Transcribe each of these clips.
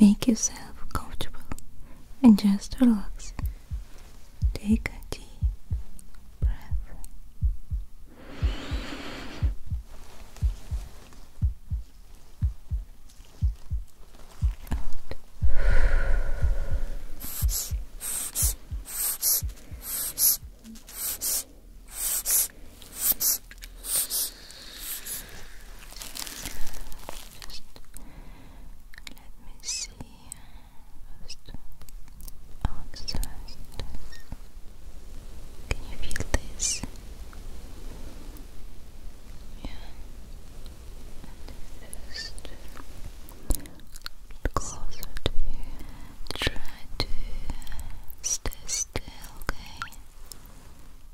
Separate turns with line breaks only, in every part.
Make yourself comfortable and just relax. Take a deep breath let me see. First, oxidize Can you feel this? Yeah. just closer to you. Try to stay still, okay?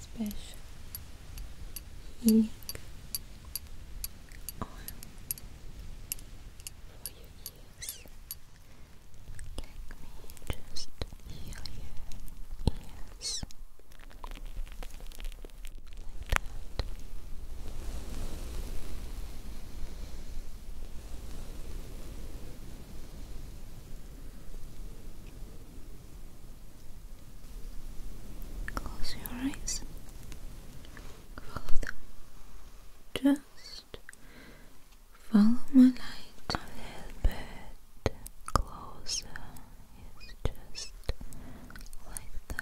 special healing oil for your ears. Let me just heal Close your eyes. Follow them. Just follow my light a little bit closer. It's just like the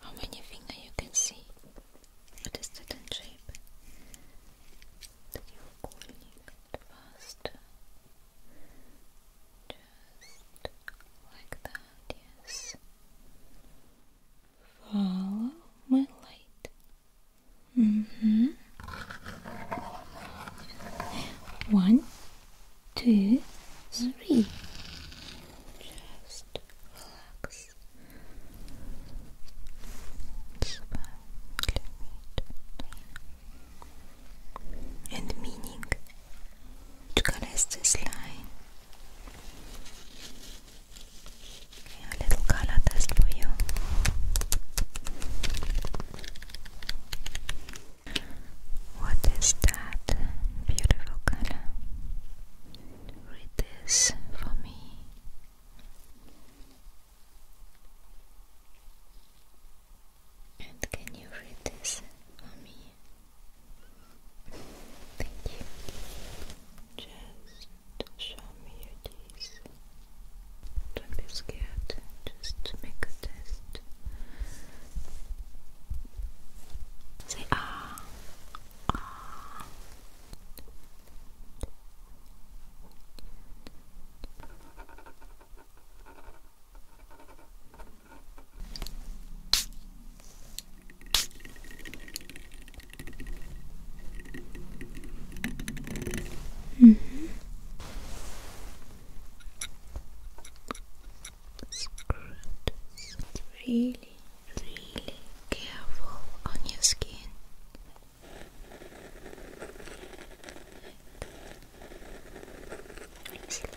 How many fingers you can see? What is that in shape? Треугольник faster. Just like that, yes. Follow my light. Mm-hmm. One, two, three. Just relax. And meaning to colors this line. A little color test for you. What is that beautiful color? Read this for me. And can you read this for me? Thank you. Just show me your teeth. Don't be scared. Just make Say ah, ah. -hmm scratches. Really, really careful on your skin. Like, slowly,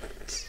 like this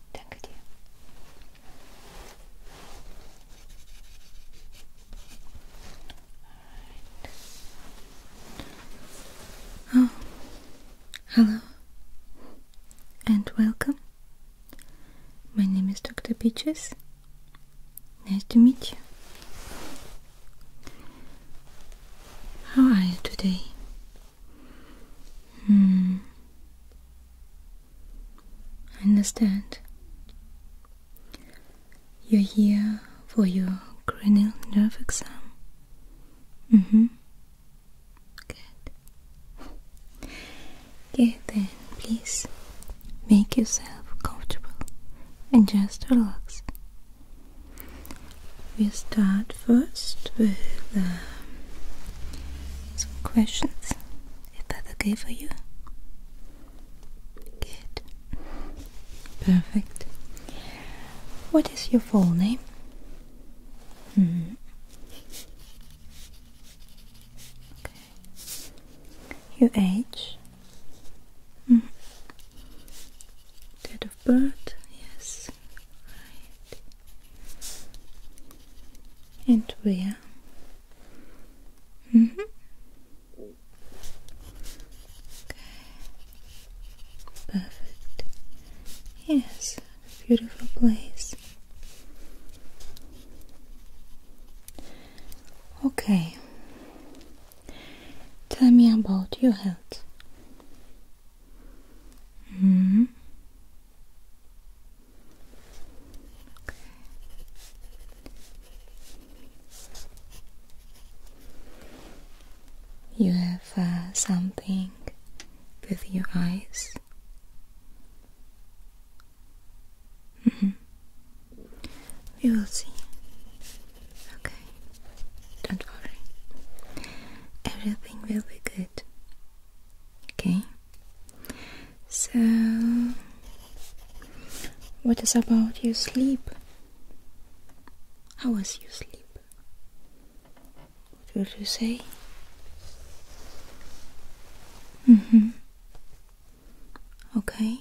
Danke dir. Oh, hello and welcome. My name is Dr. Peaches. Nice to meet you. How are you today? Hmm. I Understand? You're here for your cranial nerve exam? Mm hmm. Good. Okay, then please make yourself comfortable and just relax. We'll start first with. Uh, some questions. Is that okay for you? Good. Perfect. What is your full name? -hmm. Okay. Your age? Mm -hmm. Date of birth? Yes. Right and where? Mm -hmm. Okay. Perfect. Yes, beautiful place. Okay. Tell me about your health. -hmm. You have uh, something with your eyes. Mm-hmm. We will see. Okay, don't worry. Everything will be good. Okay? So, what is about your sleep? How was your sleep? What would you say? Mm-hmm. Okay.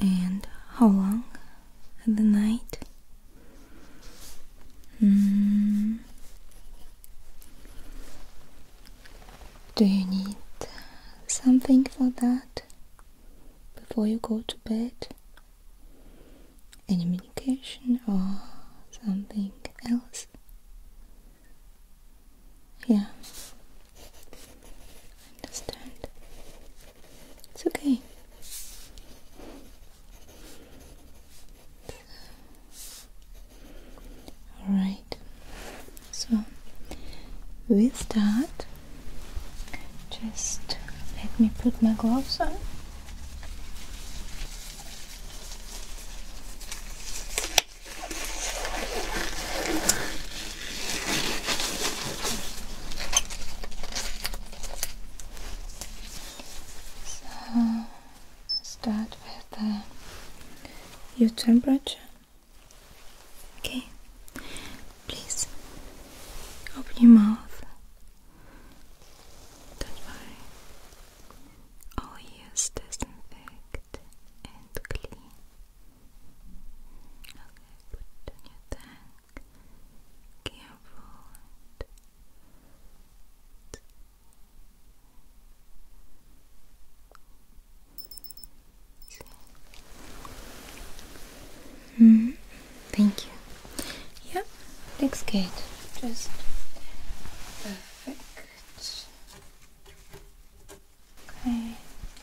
And how long at the night. Mm. Do you need something for that before you go to bed? Any medication or something else? Yeah. I understand. It's okay. Alright, so with that, Just let me put my gloves on. So start with uh, your temperature. Okay, please open your mouth. Don't worry. Always disinfect and clean. Okay, put your tongue careful mm-hmm. and thank you. Yeah. looks good. Just perfect. Okay,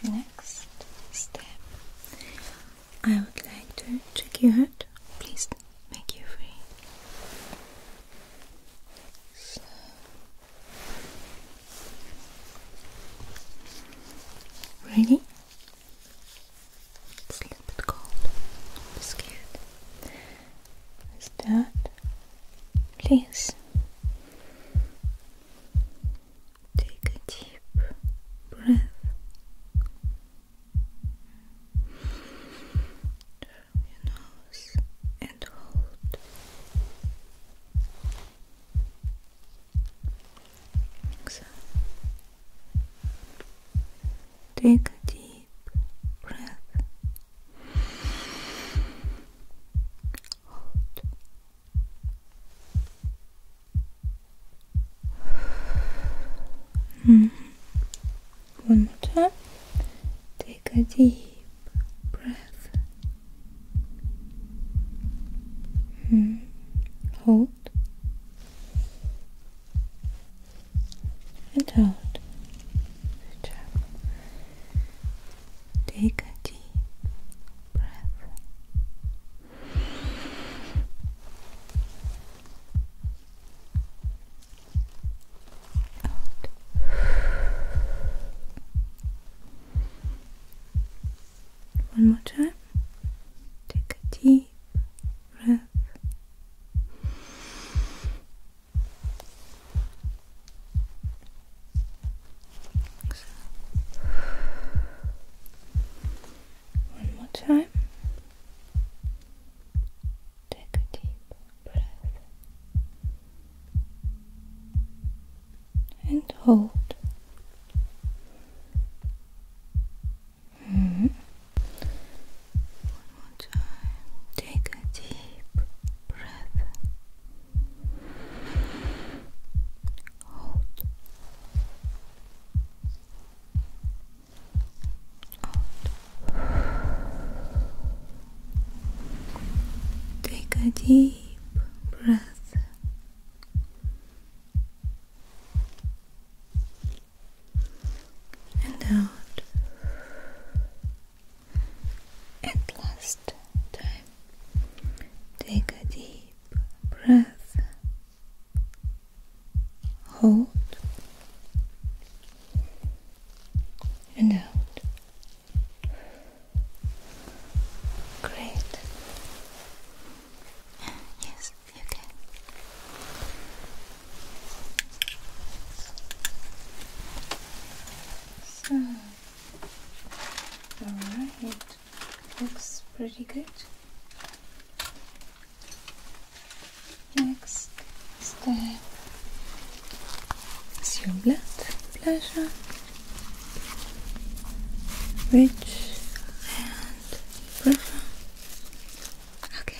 next step. I would like to check your heart. Please make you free. Ready? It's a little bit cold. I'm scared. Start, please. Take a deep breath. From your nose and hold. Take a deep breath. Hold. Hmm. One more time. Take a deep breath. Hmm. Hold and out. Good job. Take a deep breath. One more time. Take a deep breath. One more time. Take a deep breath and hold. Mm-hmm. One more time. Take a deep breath. Hold. Take a deep breath. And out at last time. Take a deep breath hold and out. Great. Yes, you So, all right, looks pretty good. Next step is your blood pressure, which and profile. Okay.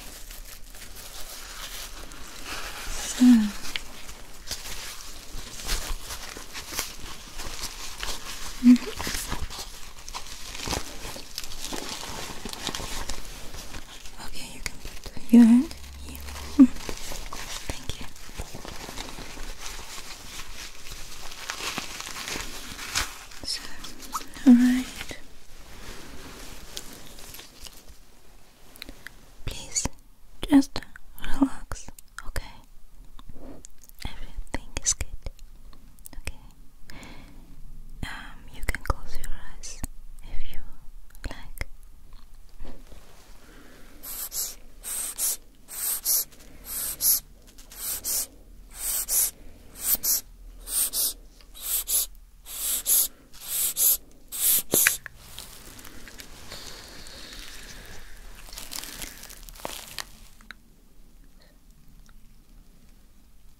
So -hmm. Mm-hmm. Okay, you can put your hand here. Hmm. Thank you. So, alright. Please just relax, okay? Everything is good. Okay. Um, you can close your eyes if you like.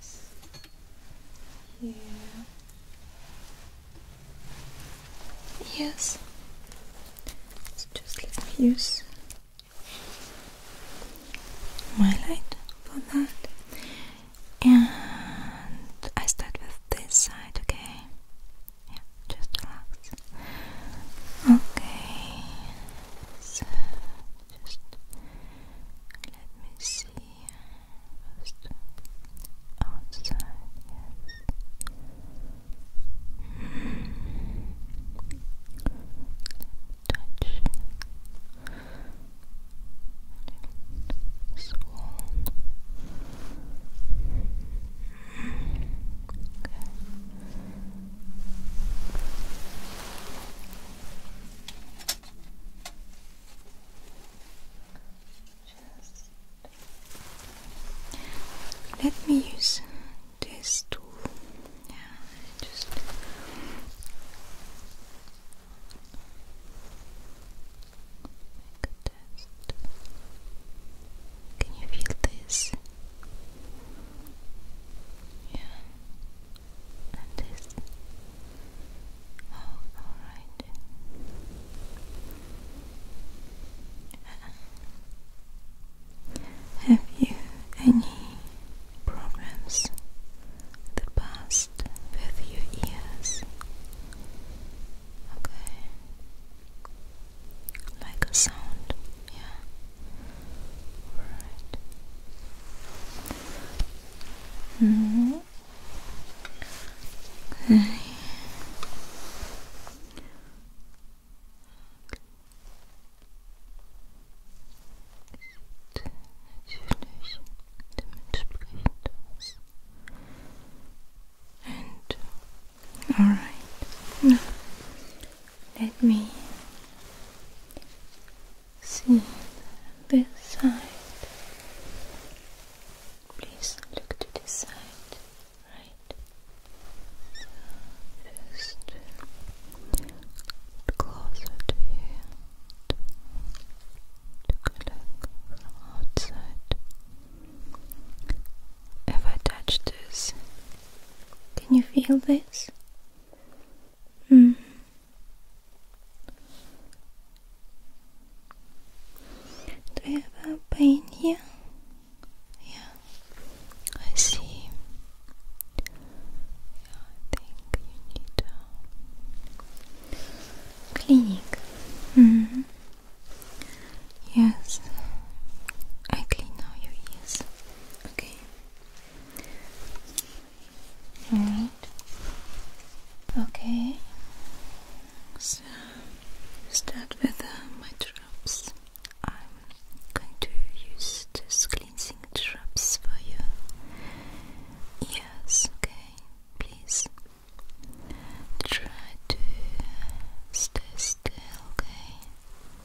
S U Yes. So just let me use my light for that. And I start with this side, okay? Yeah, just relax. Okay, so just let me see first outside, yes. Let me touch swan. Okay let me use this tool. Yeah, just Make a test. Can you feel this? Yeah. And this. Oh, alright. Uh-uh. have you any problems the past with your ears? Okay. Like a sound, yeah. Right. Mm -hmm. Okay. natürlich dementsprechend aus. And alright. Let me see this side. Please look to this side, right? So just closer to you. outside. If I touch this, can you feel this? Mm. Do you have a pain here? Yeah, I see. Yeah, I think you need a clinic. Mm. Mm-hmm. Yes, I clean now your ears. Okay. All right. Okay. So start with uh, my drops. I'm going to use these cleansing drops for you. Yes. Okay. Please try to stay still. Okay.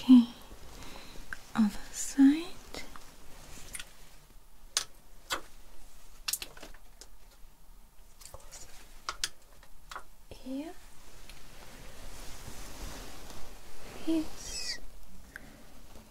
Okay, other side. Here is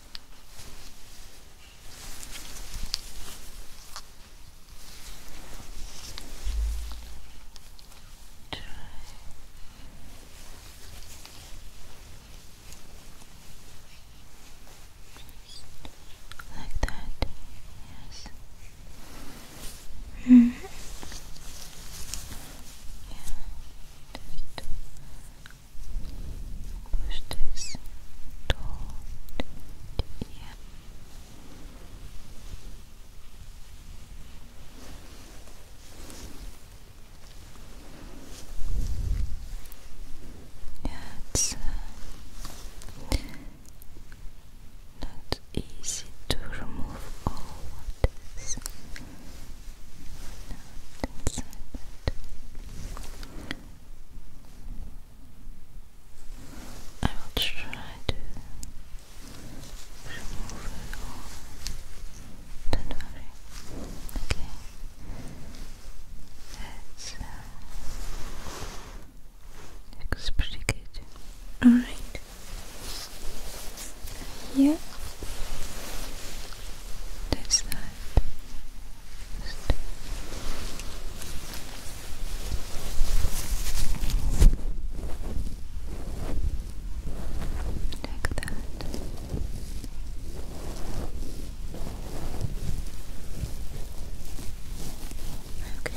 Try. Like that, yes. -hmm. Yeah, Gustes dort dir. Yeah, it's uh, not easy to remove all what is not inside I will try to remove it all. Don't worry. Okay. It's, uh, looks pretty good. Alright. Here this side. Like that. Okay.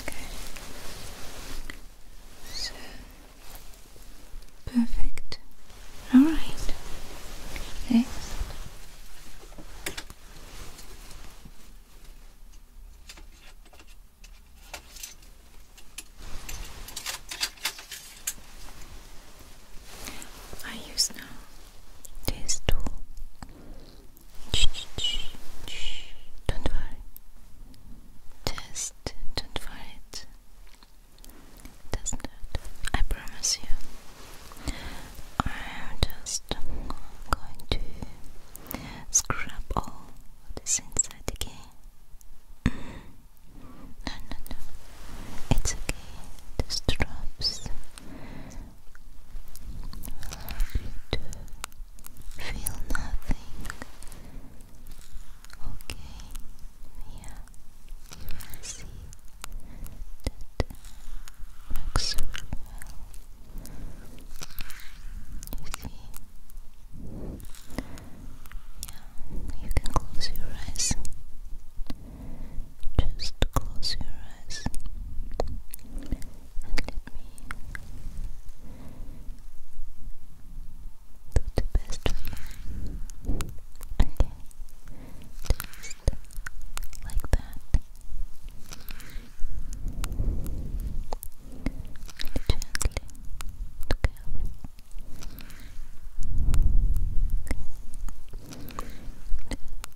Okay. So perfect. All right. Next. I use this tool. Don't worry. Just don't worry. It doesn't hurt. I promise you. I am just going to scrub all this inside again. Mm-hmm. no, no, no. It's okay. The drops Allow you to feel nothing. Okay, yeah, you will see that works really well. You see? Yeah, you can close your eyes. Just close your eyes and let me do the best Okay, just like that. Gently, careful.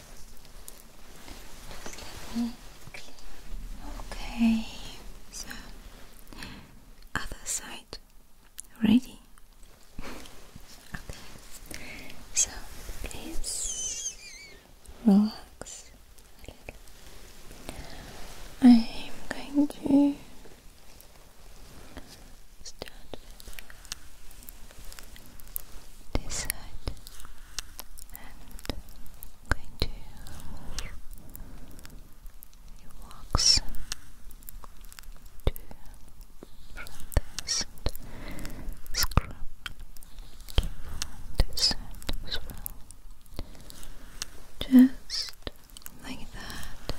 Just let me clean. Okay, so other side ready. okay, so please relax a little. I'm going to start this side and going to move your to from this scrub Keep this as well just like that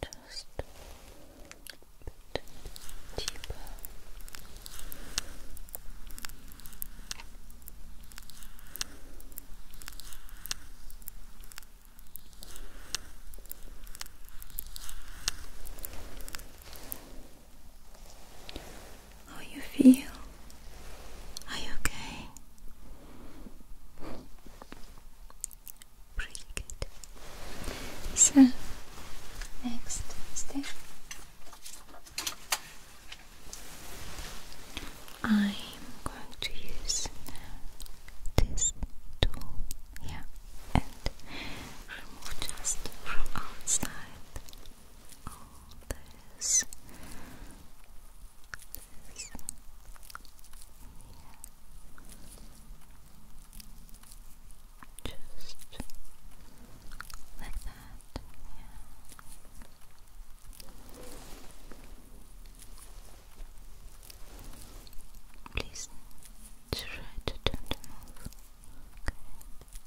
Just a bit deeper. How you feel? Are you okay? Pretty good. So, next step, I'm going to use this tool here and remove just from outside this, this, Just like that, Please try to don't move.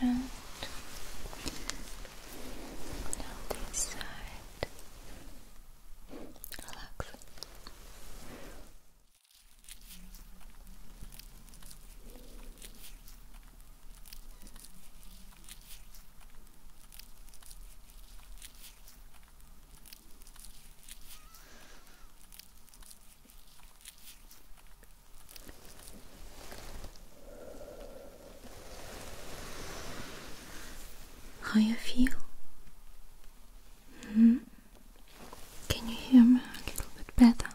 and now this side. Relax. How you feel? -hmm. Can you hear me a little bit better?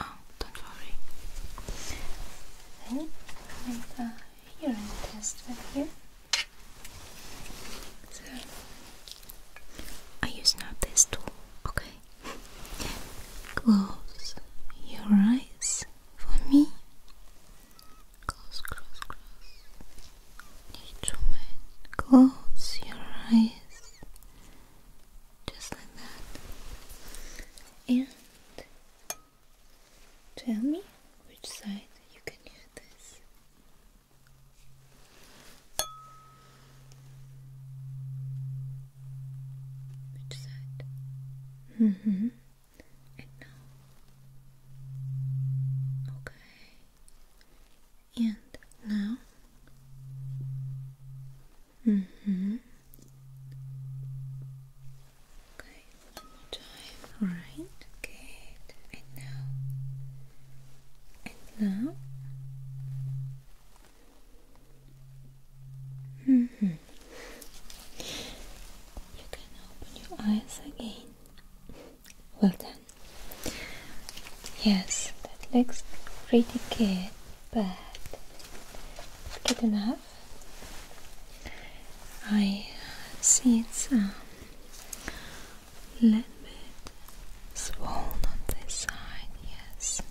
Oh, don't worry. I make a hearing test with you. So I use now this tool, okay? Close your eyes for me. Close, close, close. Instrument. Close your eyes. Just like that. And tell me which side you can hear this. Which side? Mm-hmm. And now. Okay. And now. hmm Okay, one more time. Alright. Good. And now. And now. -hmm. You can open your eyes again. Well done. Yes, that looks pretty good, but good enough. I see it's um, little bit swollen on this side, yes.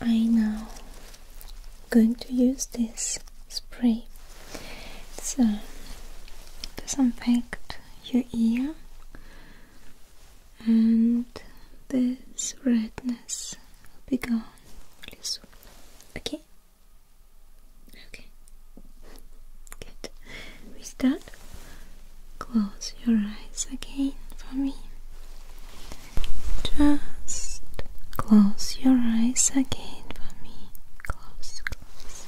I now going to use this spray. It's uh, affect your ear and this redness will be gone really soon. Okay? Okay. Good. start that. Close your eyes again for me. Just close your eyes again for me. Close, close.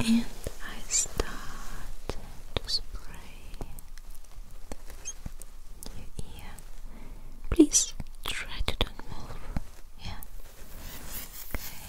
And I start to spray your ear. Please try to don't move. Yeah. Okay.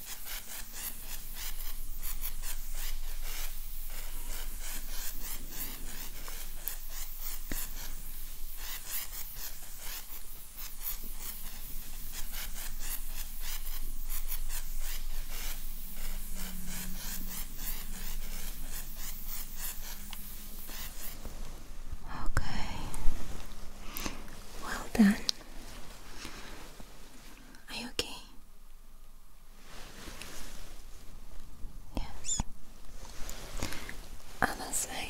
Okay. Well done. Are you okay? Yes. Other side.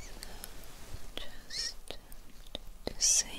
So just the same.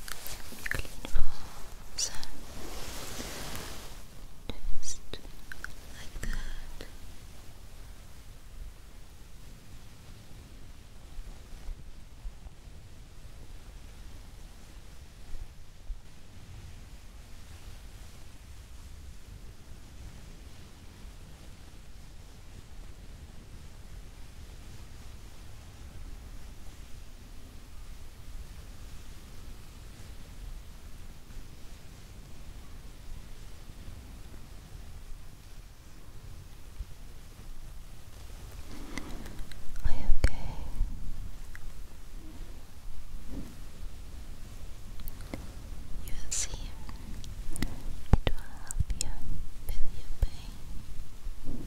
clean balls. Just like that. Are you okay? You will see, it will help you with your pain.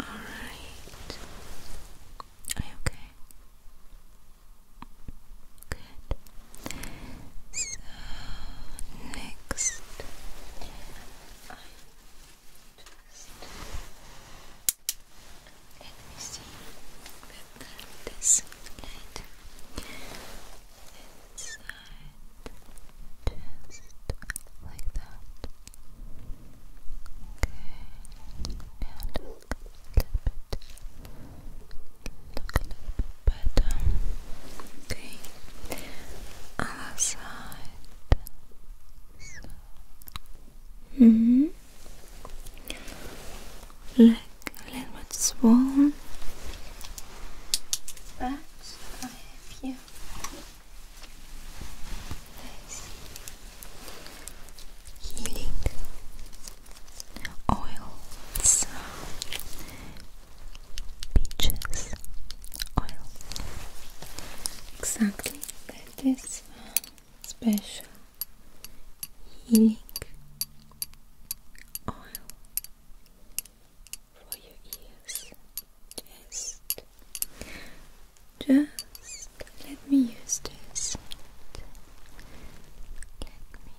All right. okay? Good. So next, let me see we'll this later just like that okay, now a little bit a little bit better um, okay, other side -hmm. Like a little bit swollen. But I have here This uh, healing oil, it's peaches oil. Exactly, that is uh, special healing oil for your ears. Just, just let me use this. Let me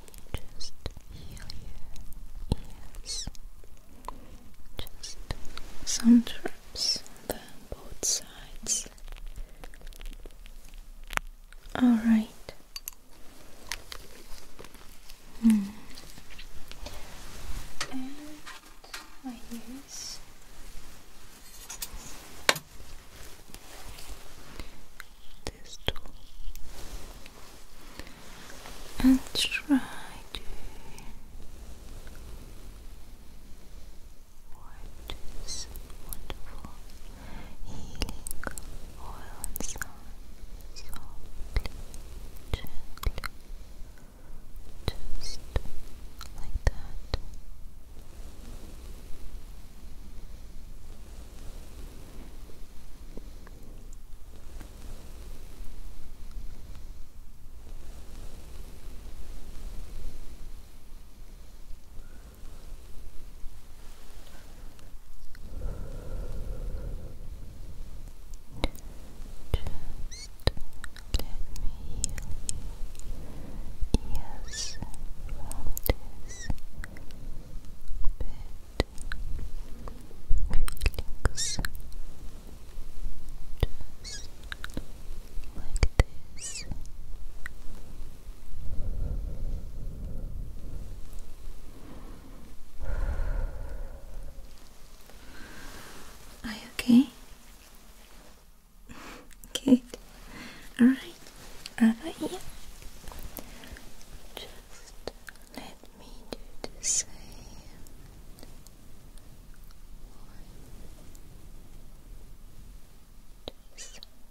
just heal your ears. Just some drops on both sides. All right, Mm. And my ears. This tool. And try to wipe this wonderful healing oil sound softly, gently, just like that. Just let me heal you feelings. like this. Are you okay? Alright, over Just let me do the same.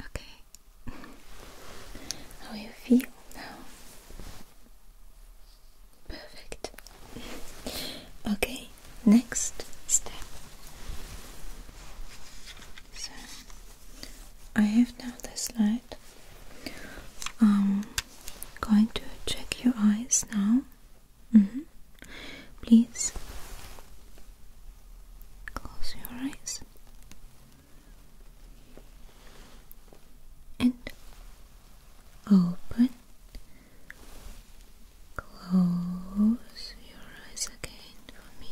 Okay. How you feel now? Perfect. Okay, next step. So I have now this light. I'm um, going to check your eyes now. Mm -hmm. Please close your eyes and open. Close your eyes again for me.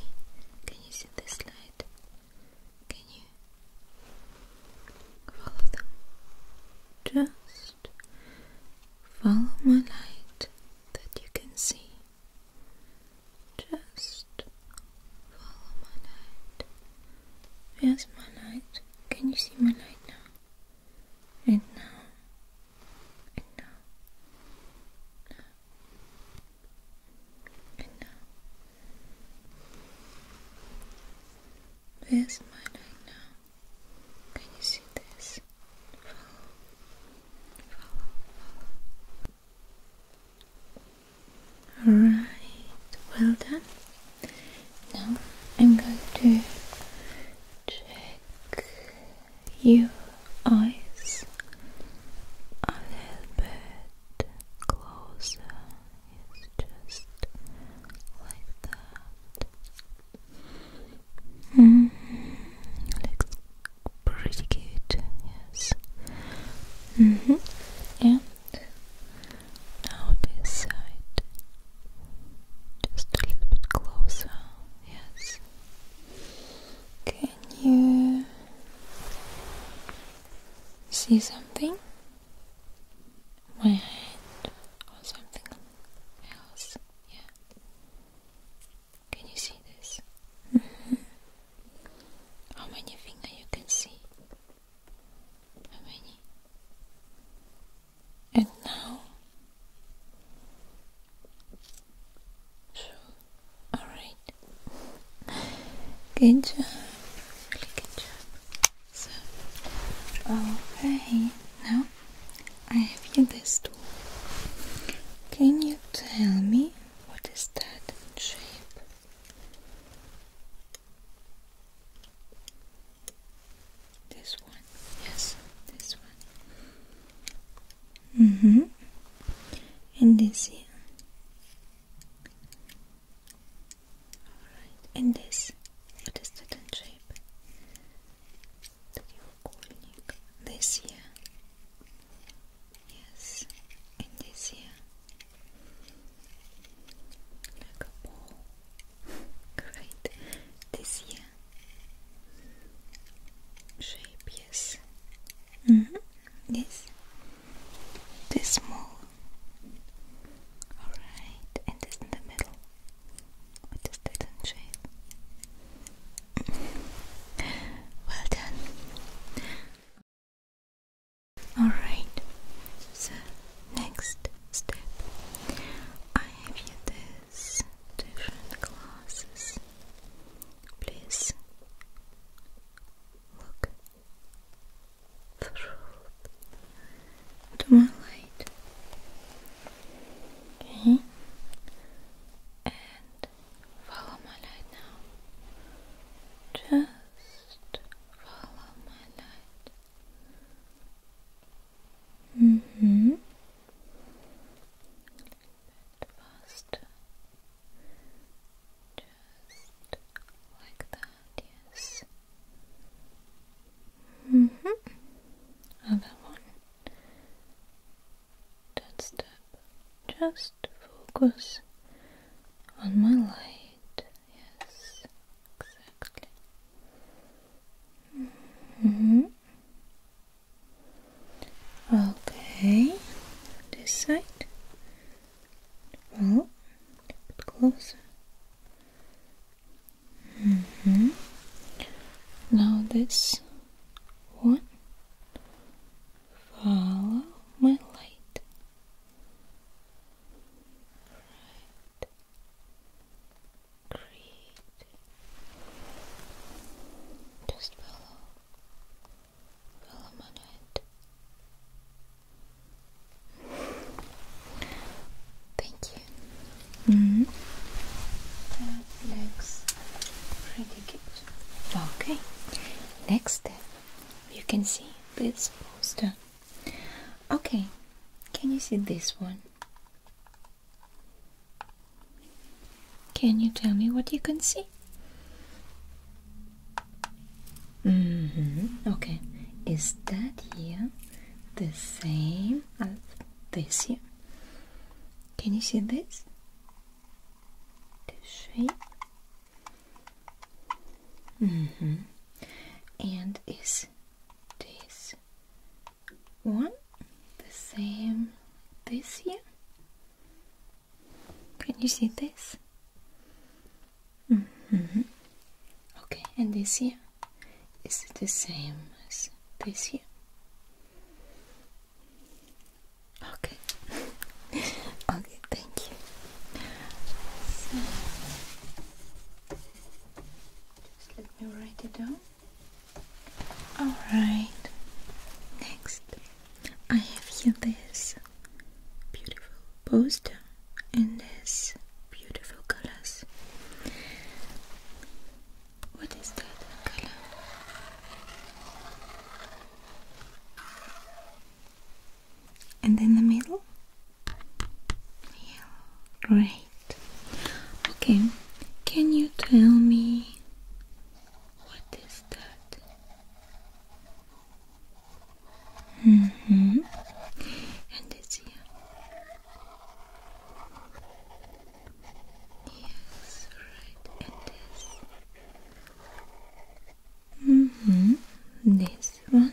Can you see this light? Can you follow them? Just Follow my light that you can see. Just follow my light. Where's my light? Can you see my light now? And now. And now. And now. Where's mine right now? Can you see this? Follow, follow, follow. Alright, well done. Now I'm going to check your eyes a little bit closer. just like that. Mm-hmm. looks pretty good, yes. Mm-hmm. And now this side, just a little bit closer, yes. Can you see something? My hand or something else. Yeah. Can you see this? Mm-hmm. How many fingers you can see? How many? And now, true. All right. Good job. Really good job. So, okay. Now I have here this tool. Can you tell me what is that shape? This one, yes, this one. Mm hmm. And this here. Alright, and this. What is that shape? треугольник this year yes in this year like a ball great this year shape yes mm -hmm. yes this small all right and this in the middle I just didn't shave. well done. Alright, so next step I have you this different glasses. Please look through to my light. Okay. And follow my light now. Just follow my light. Mm-hmm. Faster. Just like that, yes. hmm Other one. Don't Just focus on my light. Yes, exactly. Mm-hmm. Okay, this side. Well, a bit closer. Mm -hmm. Now this one. Follow my light. Create. Just follow. Follow my light. Thank you. Mm -hmm. That looks pretty good. Okay. Next you can see this poster. Okay, can you see this one? Can you tell me what you can see? Mm -hmm. Okay, is that here the same as this here? Can you see this? The shape. Mm -hmm. And is this one the same this here? Can you see this? Mm -hmm. Okay, and this here? is it the same as this here. Okay. okay, thank you. just let me write it down. Alright. Next, I have here this beautiful poster and this beautiful colors. What is that color? And in the middle? Yellow. Great. Okay, can you tell me what is that? hmm. And it's here. Yes, right, it is. hmm, this one.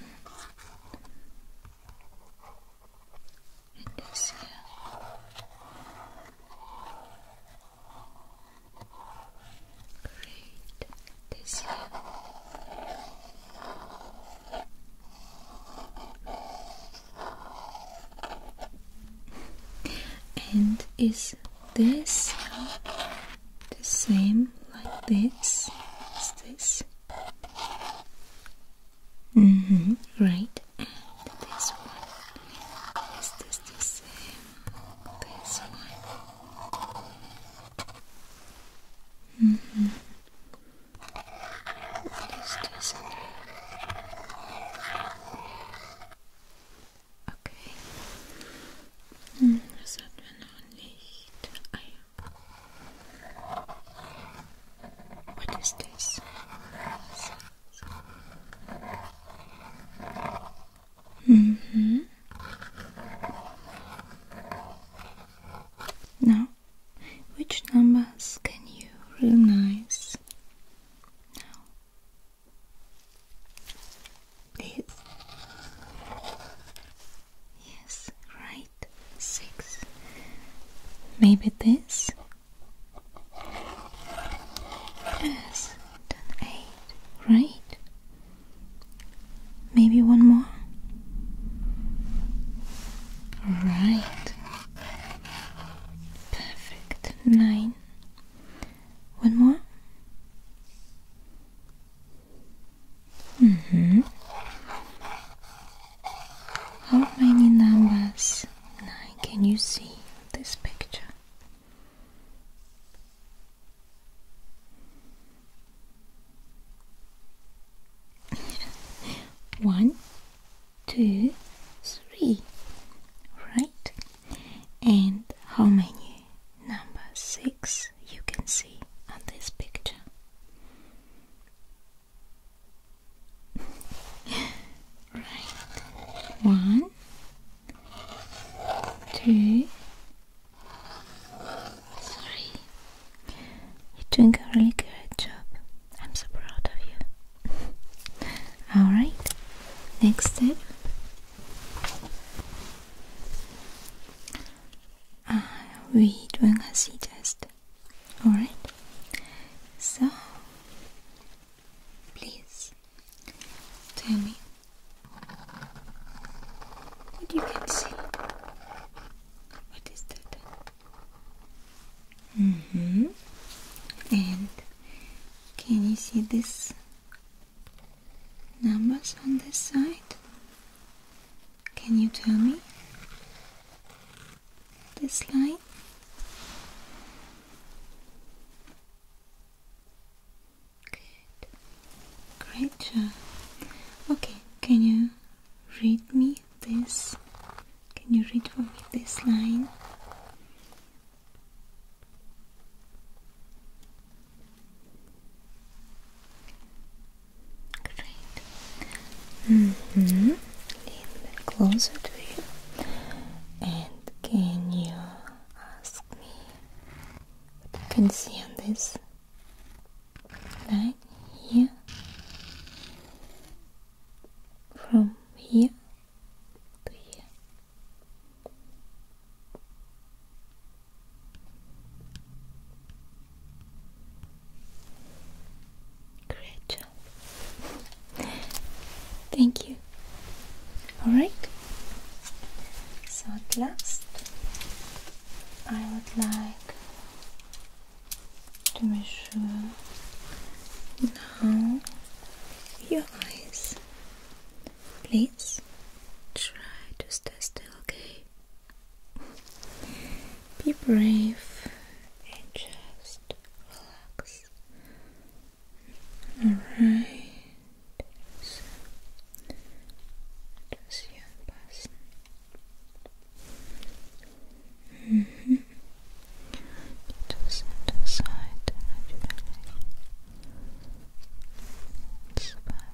And Great, this here. And is this the same like this? Is this? Mm-hmm, right. this one. Is this the same? This one. Mm-hmm. What is this? Okay. What is this? mm Now, which numbers can you recognize now is yes right six maybe this yes eight right maybe one more right Perfect. Nine. One more. hmm How many numbers nine can you see this picture? One, two, three, right? And how many number six you can see on this picture? right, one, two, three. You're doing a really great job. I'm so proud of you. Alright, next step. Uh, we doing a C test. Alright, so please tell me what you can see. What is that? Mm hmm And can you see these numbers on this side? Can you tell me this line? Good. Great job. Okay, can you read me this? Can you read for me this line? Great. hmm. A closer to you. And can you ask me can see on this line here? From here great thank you all right so at last I would like to measure now your eyes. Please try to stay still, okay? Be brave and just relax. Alright. just you in -hmm. Just set aside naturally. It's about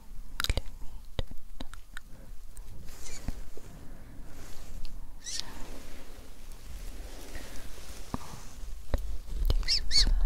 So, on this side. Good. Just relax.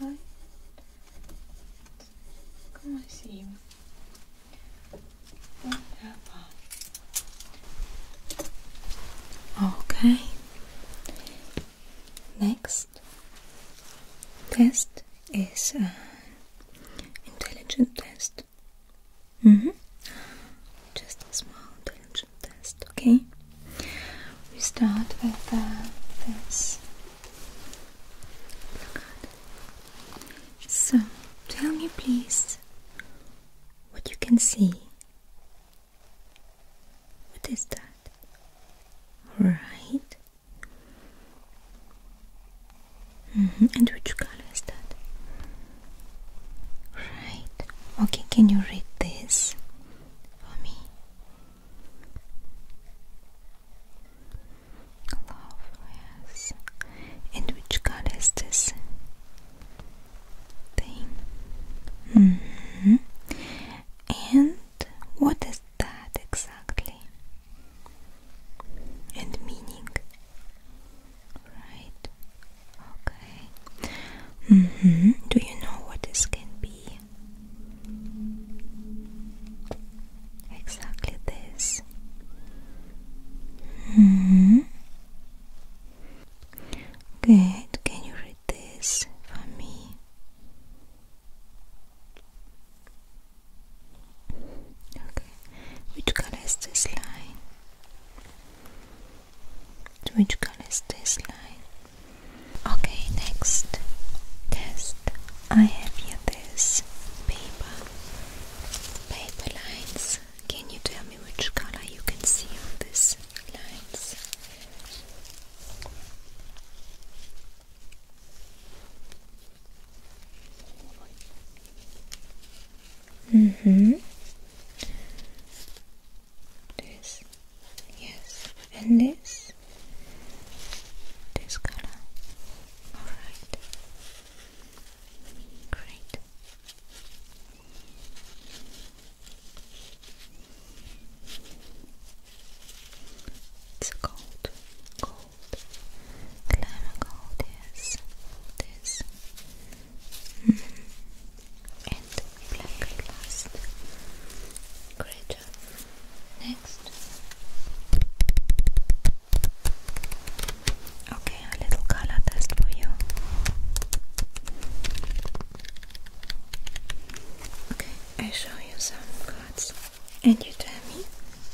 20,3 20,7 Okay. Next test is an uh, intelligent test. Mm -hmm. Just a small attention test, okay? We start with uh, this. So, tell me please what you can see. What is that? Right. Mm -hmm. And which color is that? Right. Okay, can you read this for me? Love, yes. And which color is this thing? Mm-hmm. And what is that exactly? And meaning? Right. Okay. Mm-hmm. Do you know what this can be? Exactly this. hmm Good. Can you read this for me? Okay. Which color is this line? Which color is this line? Okay, next test. I have here this paper, paper lines. Can you tell me which color you can see on these lines? Mm-hmm. This, yes, and this, this color. All right. Great. It's gold, gold, glamour gold, yes, this. -hmm and black glass. Great job. Next. Okay, a little color test for you. Okay, I show you some cards and you tell me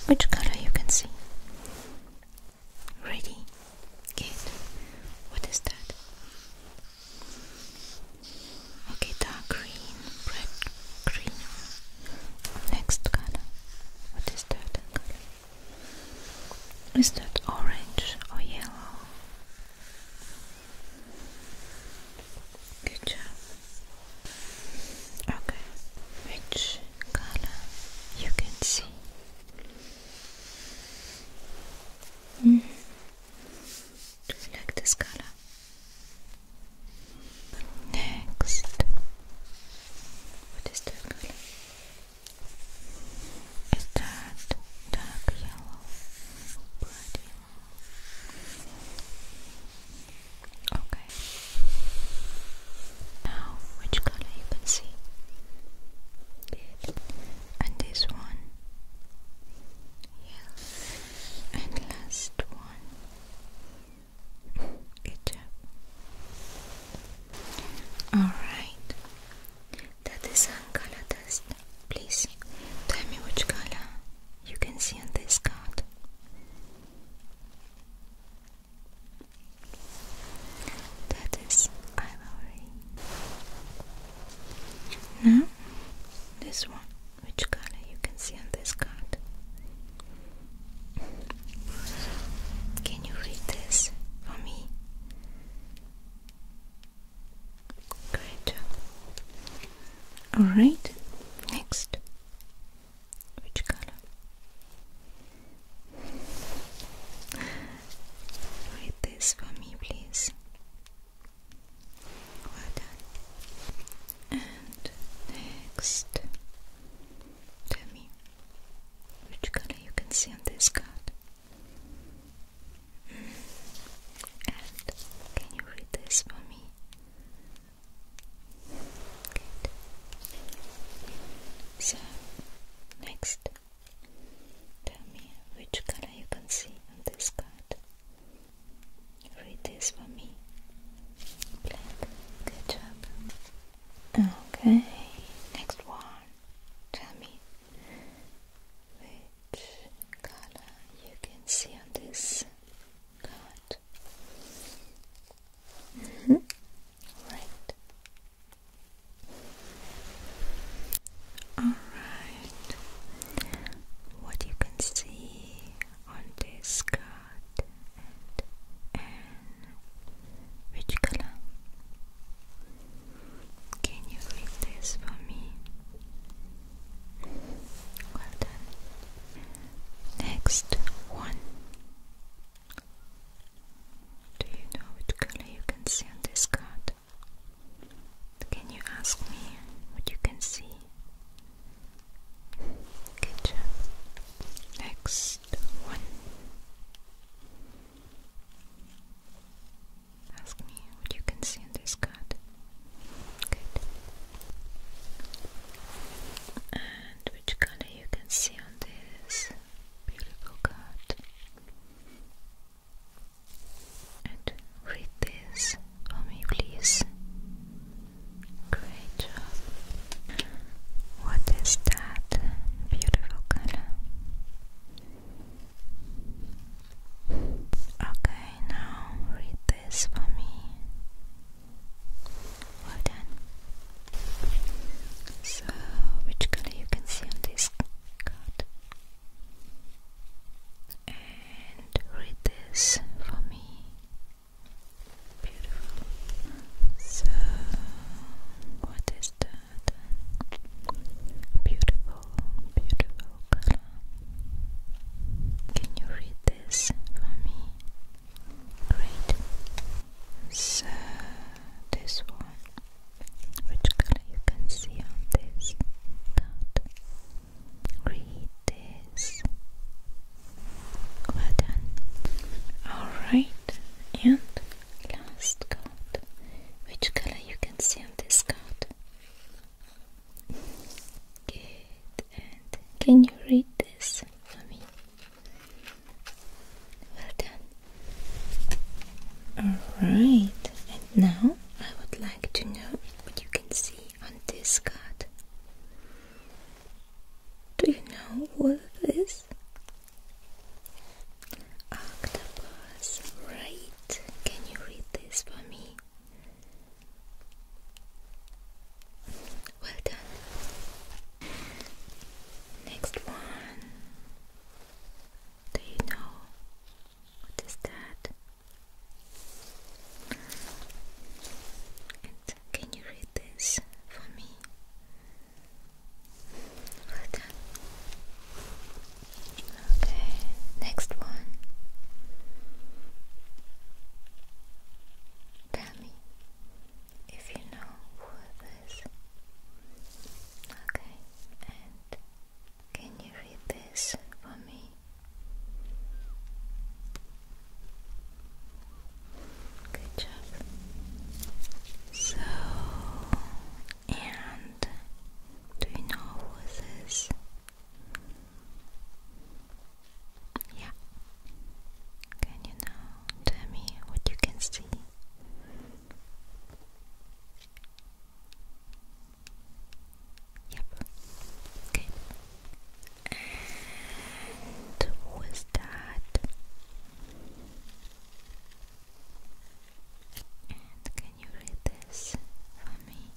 which color you can see. Ready? Good. What is that? Okay, dark green, bright green. Next color. What is that that orange or yellow? Good job. Okay, which color you can see? Mm-hmm. Do you like this color? Next, what is that color? Is that dark yellow? Okay. Now, which color you can see? and this one yeah. and last one good alright that is on color test please tell me which color you can see on this card that is ivory now, this one. Which color you can see on this card? Can you read this for me? Great. Alright, next. Which color? Read this for me, please. Well done. And next, tell me which color you can see on this card. Mm. And can you read this for me? Good. So, next, Tell me which color you can see on this card. Read this for me. Black. Good job. Okay, next one. Tell me which color you can see on this card. Mm Alright, what you can see on this card and, which color? Can you read this for me? Well done. Next one. Do you know which color you can see on this card? Can you ask me what you can see? Good Next one. Ask me what you can see on this card. Good. And which color you can see on this beautiful card? And read this for me, please. Great job. What is that beautiful color? Okay, now read this for me. Well done. So, which color you can see on this card? and read this for me. Beautiful. So, what is that? Beautiful, beautiful color. Can you read this for me? Great. So, this one which color you can see on this card. Read this. Well done. Alright, and last card. Which color you can see on this card? Good, and can you read this for me? Well done. Alright, and now I would like to know what you can see on this card. Do you know what this Octopus, right? Can you read this for me? Well done. Next one. Do you know what is that? And can you read this for me? Okay, next one. Tell me if you know who it is. Okay, can you read this for me? Good job. So, and do you know who this Yeah. Can you now tell me what you can see? Yep. Okay. And was that? And can you read this for me?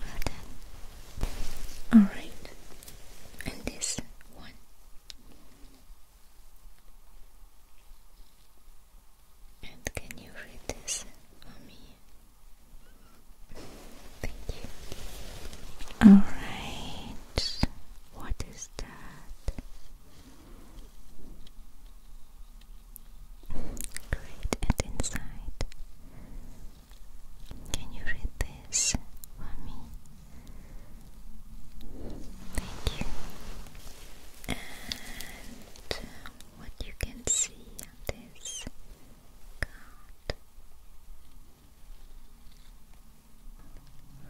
Well done. Alright. And this one. And can you read this for me? Thank you. Alright, what is that? Great, and Can you read this for me? Thank you and what you can see on this card.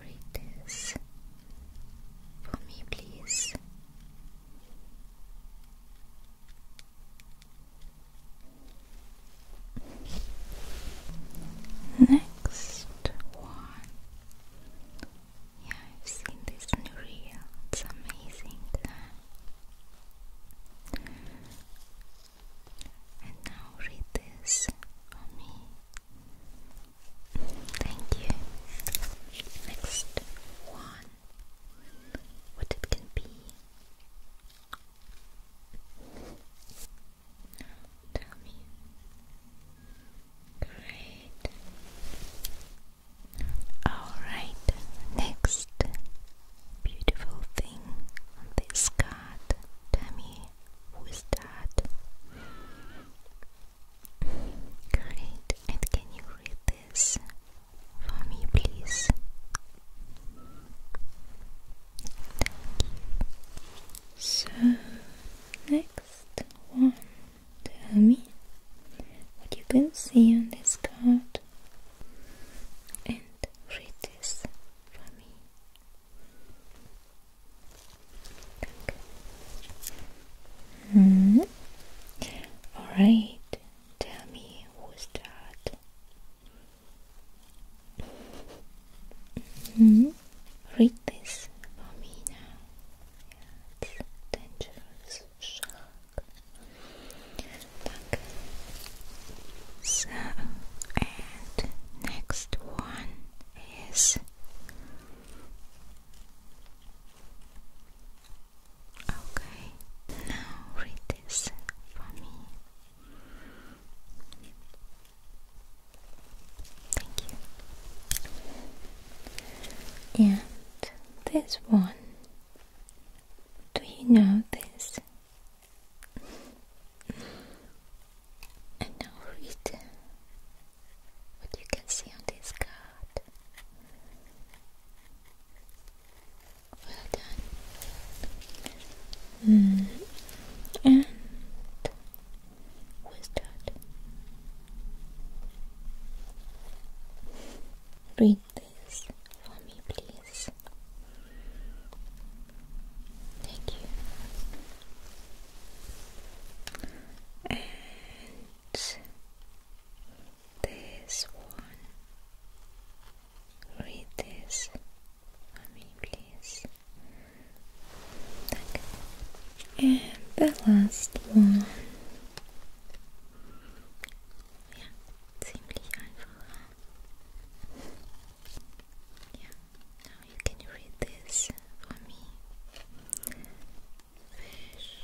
Read this for me, please. Next one yeah, I've seen this new reel. It's amazing. And now read this for me. Thank you. Next one. What it can be. tell me. Great. Alright, next beautiful thing on this card. Tell who is that? Great, and can you read this for me, please? So, next one Tell me what you can see on this card and read this for me. Mm -hmm. Alright, tell me who's that? -hmm. Read this for me now and next one is okay. Now read this for me. Thank you. Yeah, this one. Do you know this? And now read what you can see on this card. Well done. Mm. And we start Read this for me, please. Thank you. And this one. Read this for me, please. Thank you. And the last one. Ja, ziemlich einfach. Yeah, now you can read this for me. Fish.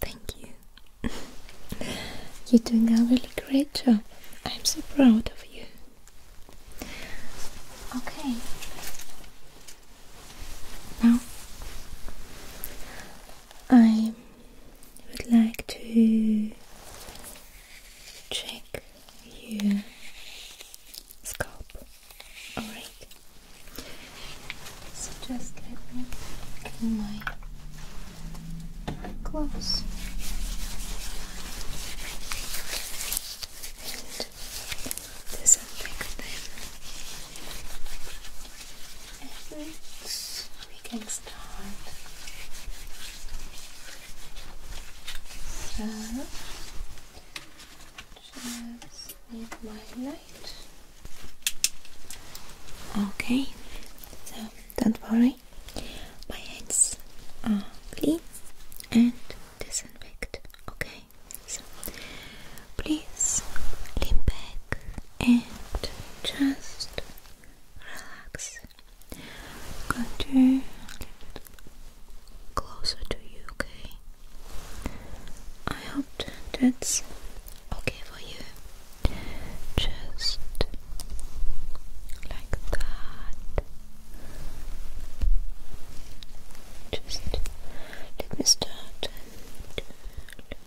Thank you. You're doing a really great job. I'm so proud of you. Okay, now, I would like to check your scalp. Alright, so just let me clean my clothes disinfect them. And we can start. So, just need my light. Okay, so don't worry, my hands are clean and disinfect. Okay please lean back and just relax. I'm going to a closer to you, okay? I hope that's okay for you. Just like that. Just let me start the top. Just like that,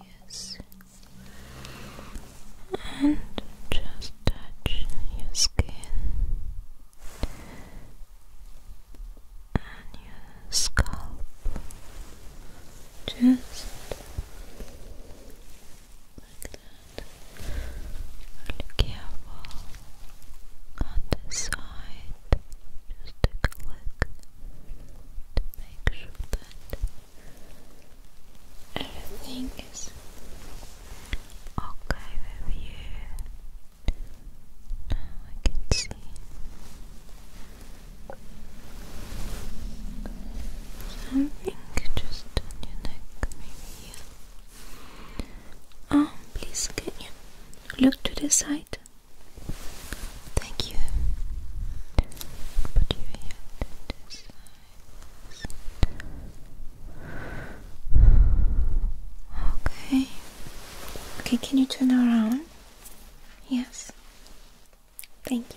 yes. And just touch your skin and your scalp. Just like that. Really careful on the side. Just take a look to make sure that everything is okay with you. Now I can see. Something just on your neck, maybe Oh, please, can you look to the side? Thank you. Put you here to the side. Okay. Okay, can you turn around? Yes. Thank you.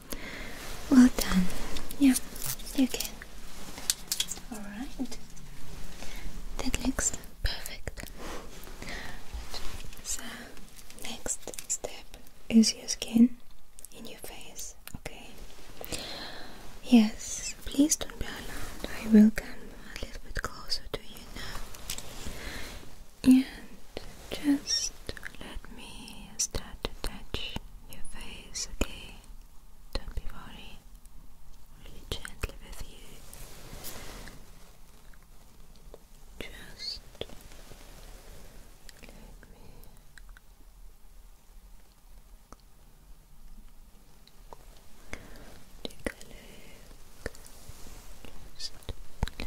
Well done. Yeah, you can. Alright. That looks perfect. So, next step is your skin in your face, okay? Yes, please don't be alarmed. I will come a little bit closer to you now. And just let me start to touch your face, okay? Don't be worried. Really gently with you. Just let me. Just let me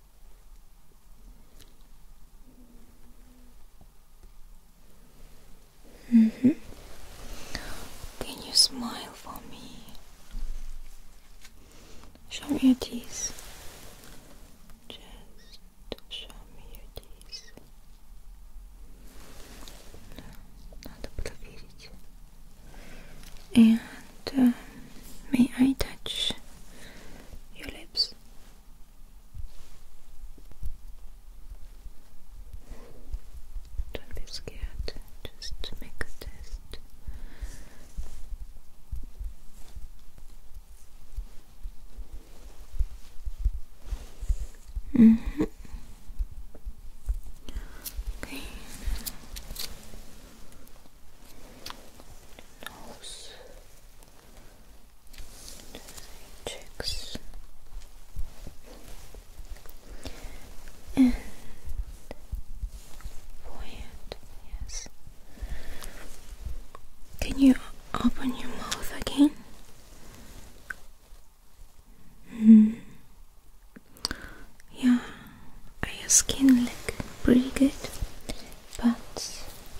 Mm -hmm. Can you smile for me? Show me your teeth. Just show me your teeth. Надо проверить. And uh, may I touch your lips? Don't be scared, just make a test. Mm-hmm. Okay nose, cheeks, and forehead. Yes. Can you open your mouth again? Mm. Yeah, your skin look pretty good but I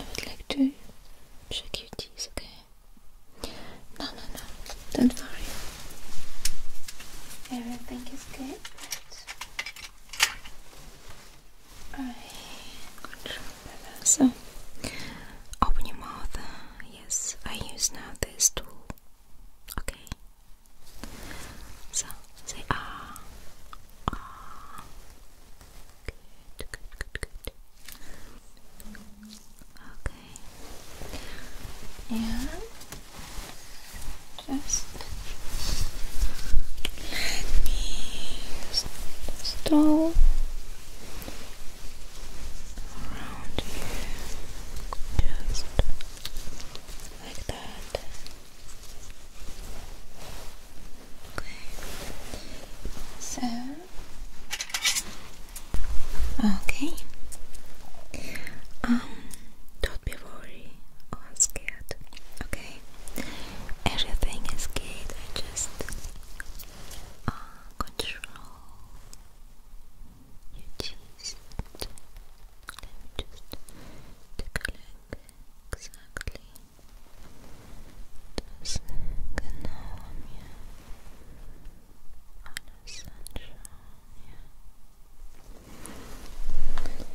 would like to check your teeth, okay? No, no, no, don't worry. Everything is good. I control better. So, open your mouth. Yes, I use now this tool. Okay. So, say ah, ah. Good, good, good, good. Okay. And just let me install around here. Just like that. So. Okay. Um. Don't be worried or oh, scared. Okay. Everything is good. I just uh, control your cheeks. Let me just take a look exactly das genau mir alles anschauen, ja. Okay,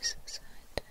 diese Seite. Sexy.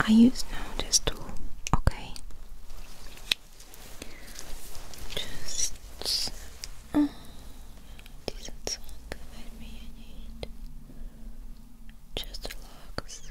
I use now this tool, okay? Just uh, decent sound that me I need. Just relax.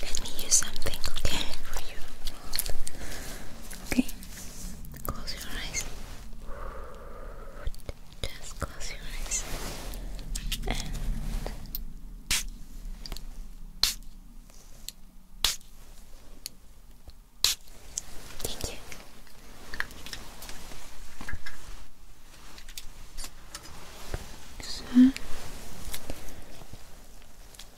Let me use something, okay, for you. Okay, close your eyes. Just close your eyes and. Thank you. So,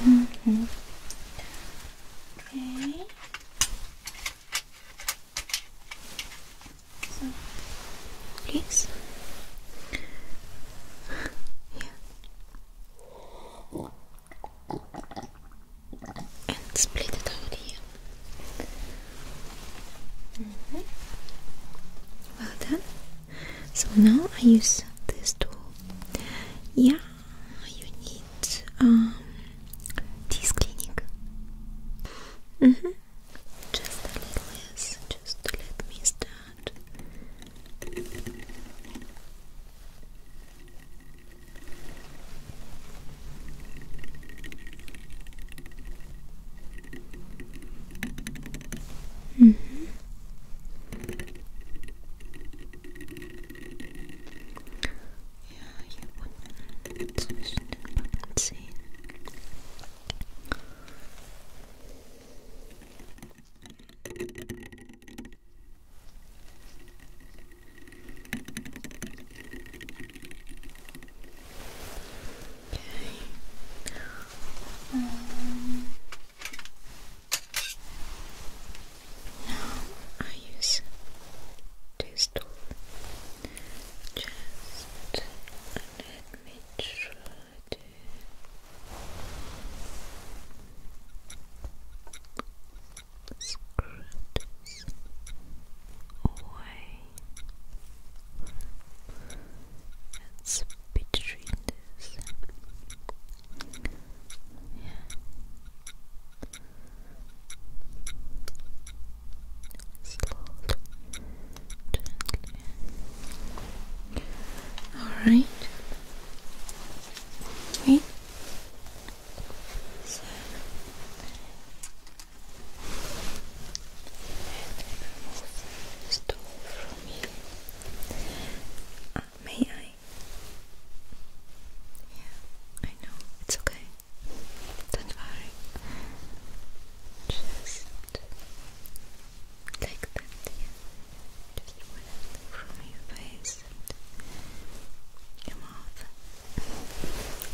Okay. So, yeah. And split it out here. Mm-hmm. Well done. So now I use this tool. Yeah, you need um, this clinic. Mm -hmm. Just a little less. Just let me start. Mm -hmm. Ja, hier unten zwischen den Backenzähnen. Okay. Um, now I use this tool. Just let me try to. Screw away. Let's between this yeah. Alright. Wait. So and remove from here. may I yeah, I know, it's okay. Don't worry. Just like that, yeah. Just whatever from your face and your mouth.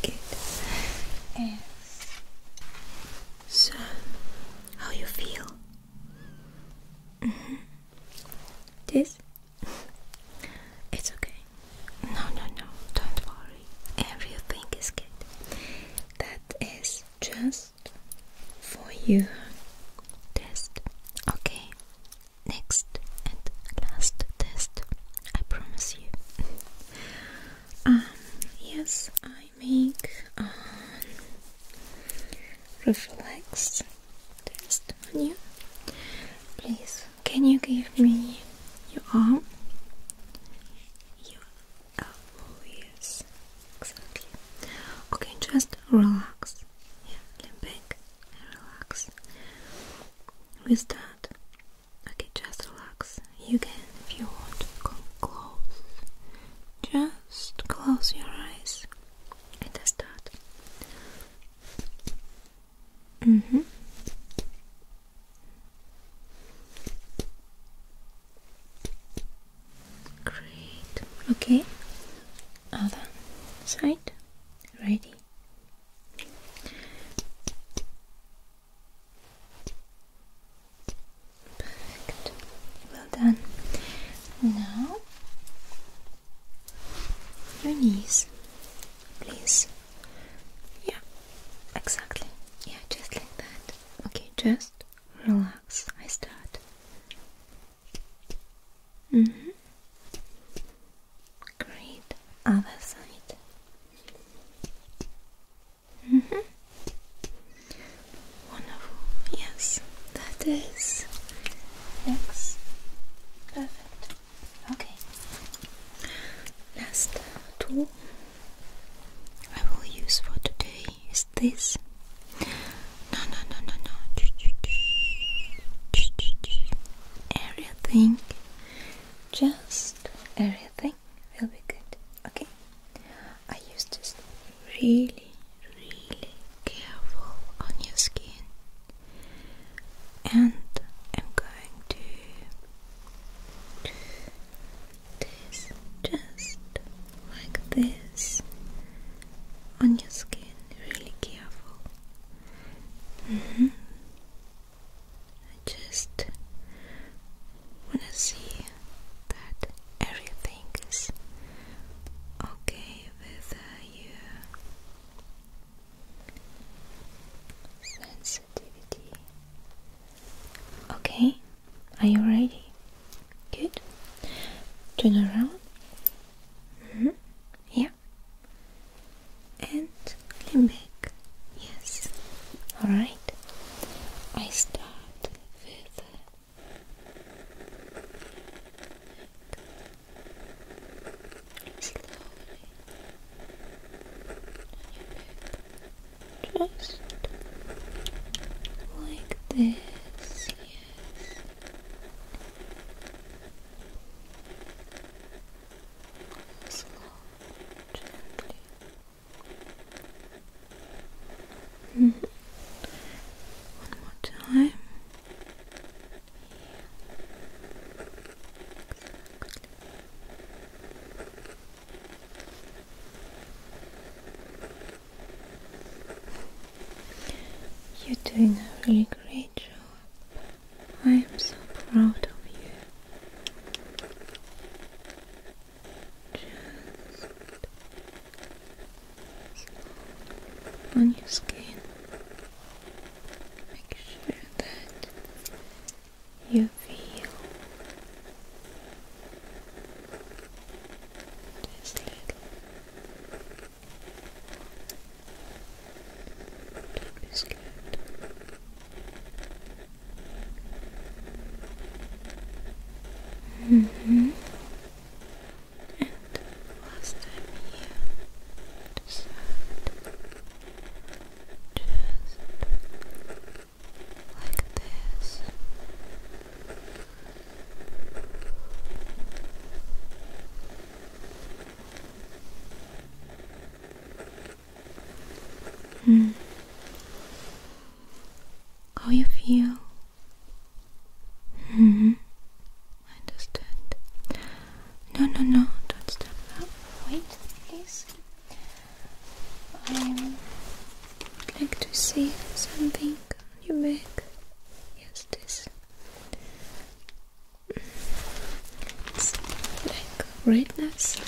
Good. So, how you feel? Mm-hmm. This? It's okay. No, no, no, don't worry. Everything is good. That is just for you. Test. Okay. Next and last test. I promise you. um, yes, I make um, reflex test on you. Please, can you give me your arm? Your elbow, exactly. Okay, just relax. Yeah, lean back and relax. With that, okay, just relax. You can, if you want, come close. Just close your eyes it is that. Mm -hmm. Great. Okay. Other side. Ready. Perfect. Well done. Now your knees, please. Yeah, exactly. Yeah, just like that. Okay, just relax. I start. Mm hmm. Great. Other side. hmm. Wonderful. Yes, that is Next. Perfect. Okay. Last tool I will use for today is this. No, no, no, no, no. Area thing. Just everything, will be good. Okay. I use this really really careful on your skin, and I'm going to this just like this on your skin, really careful. Mm-hmm. I just want to see that everything is okay with sensitivity. Okay, are you ready? Good. Turn around. Mm-hmm. Yeah. And lean back. Yes. All right. I start with. Good your Just like this, yes. Slow, mm-hmm. One more time. You're doing a really great job. I am so proud of you. Just on your skin. Make sure that you feel this little. Don't be scared. -hmm and last time here just like this Hmm. How you feel? hmm. I understand. No, no, no, don't stop. up. Wait, please. I would like to see something on your back. Yes, this. It's like redness.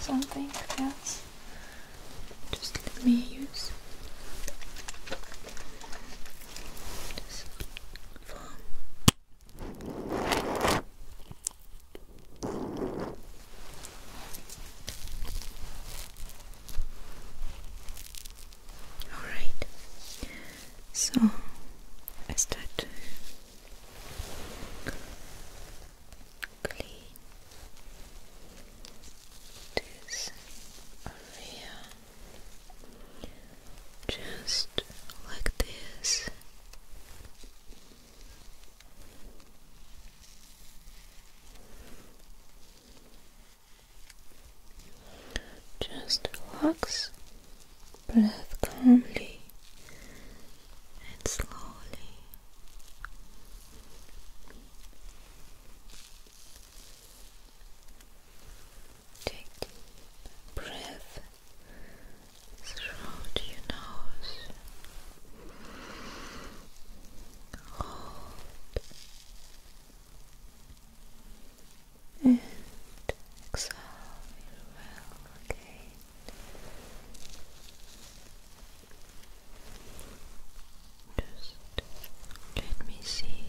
Something else. Just let me use this form. Alright, so I start to clean this area just like this. Just relax, breathe calmly and slowly. Take deep breath throughout your nose. Hold and exhale well again. Just let me see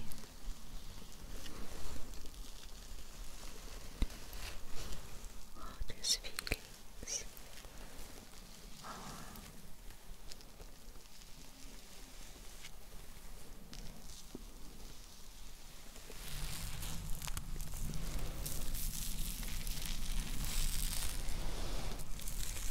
all these feelings are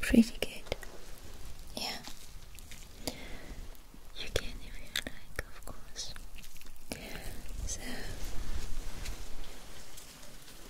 Pretty good. Yeah. You can if you like, of course. So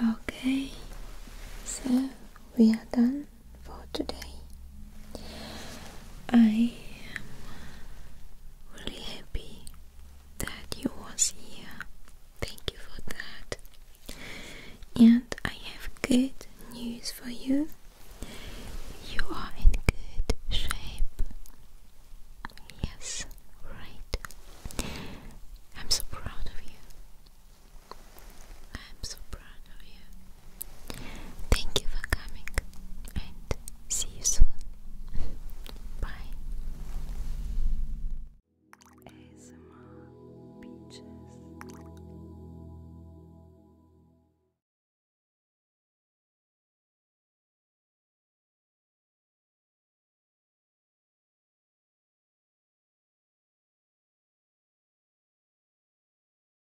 Okay. So. Okay. So we are done for today. I am really happy that you were here. Thank you for that. And I have good news for you. You are in good shape. Yes, right. I'm so proud of you. I'm so proud of you. Thank you for coming and see you soon. Bye.